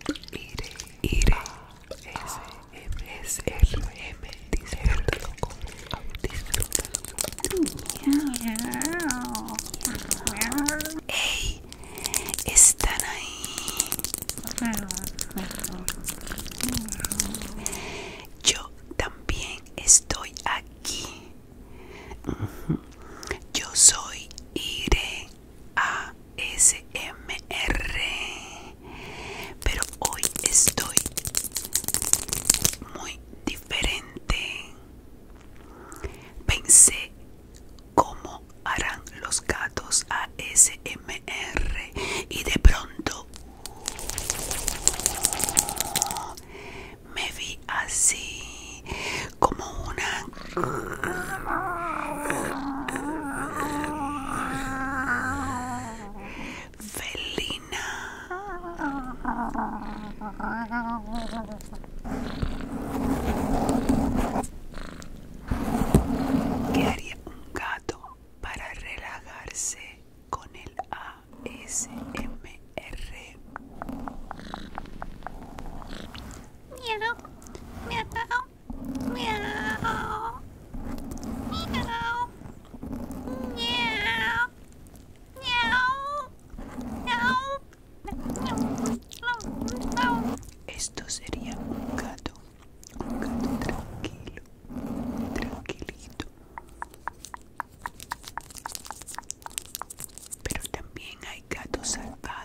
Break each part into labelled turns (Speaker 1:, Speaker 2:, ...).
Speaker 1: Ire, iré, S, M, S, R, M, disfrútalo con disfrútalo. ¡Ey! ¿Están ahí? Yo también estoy aquí. Yo soy Ire A ASMR. Pero hoy estoy muy diferente. Pensé cómo harán los gatos a SMR y de pronto me vi así como una Felina. ¿Qué haría un gato para relajarse con el ASMR? Miedo, miedo. Esto sería un gato, un gato tranquilo, tranquilito. Pero también hay gatos salvajes.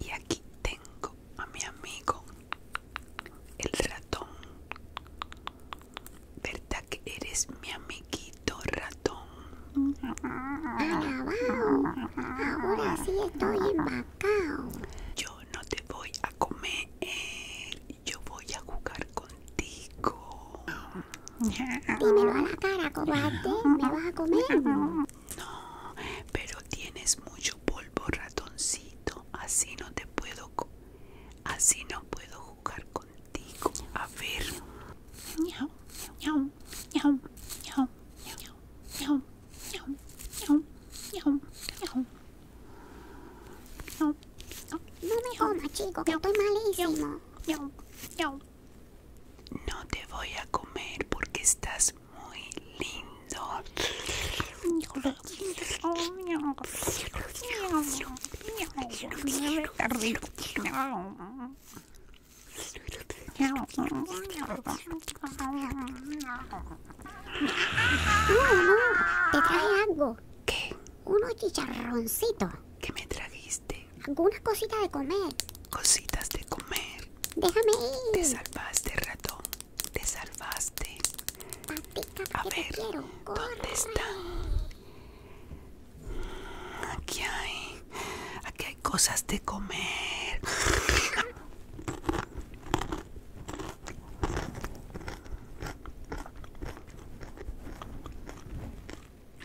Speaker 1: Y aquí tengo a mi amigo, el ratón. ¿Verdad que eres mi amiguito ratón? Alabado, ahora sí estoy embarcado. Yo no te voy a comer, yo voy a jugar contigo. Dímelo a la cara, cobarde, ¿me vas a comer? No, pero tienes mucho polvo, ratoncito. Así no te puedo, así no puedo jugar contigo. A ver. No me jodas, chico, que estoy malísimo. No te voy a comer porque estás muy lindo. Te traje algo. ¿Qué? Unos chicharroncitos. ¿Qué me trajiste? algunas cositas de comer. Cositas de comer. Déjame ir. Te salvaste, ratón. Te salvaste. a ver, ¿dónde está? Aquí hay, aquí hay cosas de comer.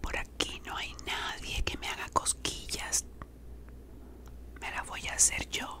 Speaker 1: Por aquí no hay nadie que me haga cosquillas. Me la voy a hacer yo.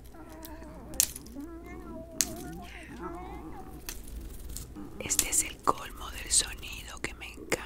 Speaker 1: Este es el colmo del sonido que me encanta.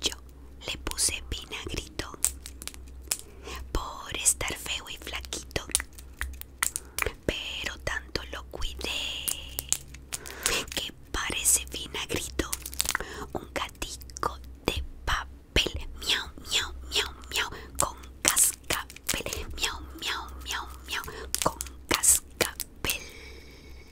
Speaker 1: Yo le puse vinagrito por estar feo y flaquito, pero tanto lo cuidé que parece vinagrito, un gatico de papel, miau, miau, miau, miau, con cascabel, miau, miau, miau, miau, con cascabel.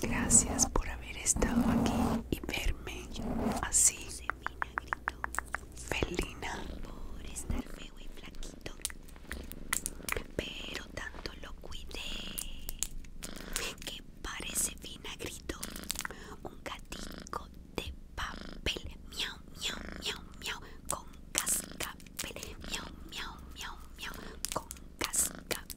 Speaker 1: Gracias por haber estado aquí y verme así. Felina. Por estar feo y flaquito. Pero tanto lo cuidé. Que parece vinagrito. Un gatito de papel. Miau, miau, miau, miau. Con cascabel. Miau, miau, miau, miau. Con cascabel.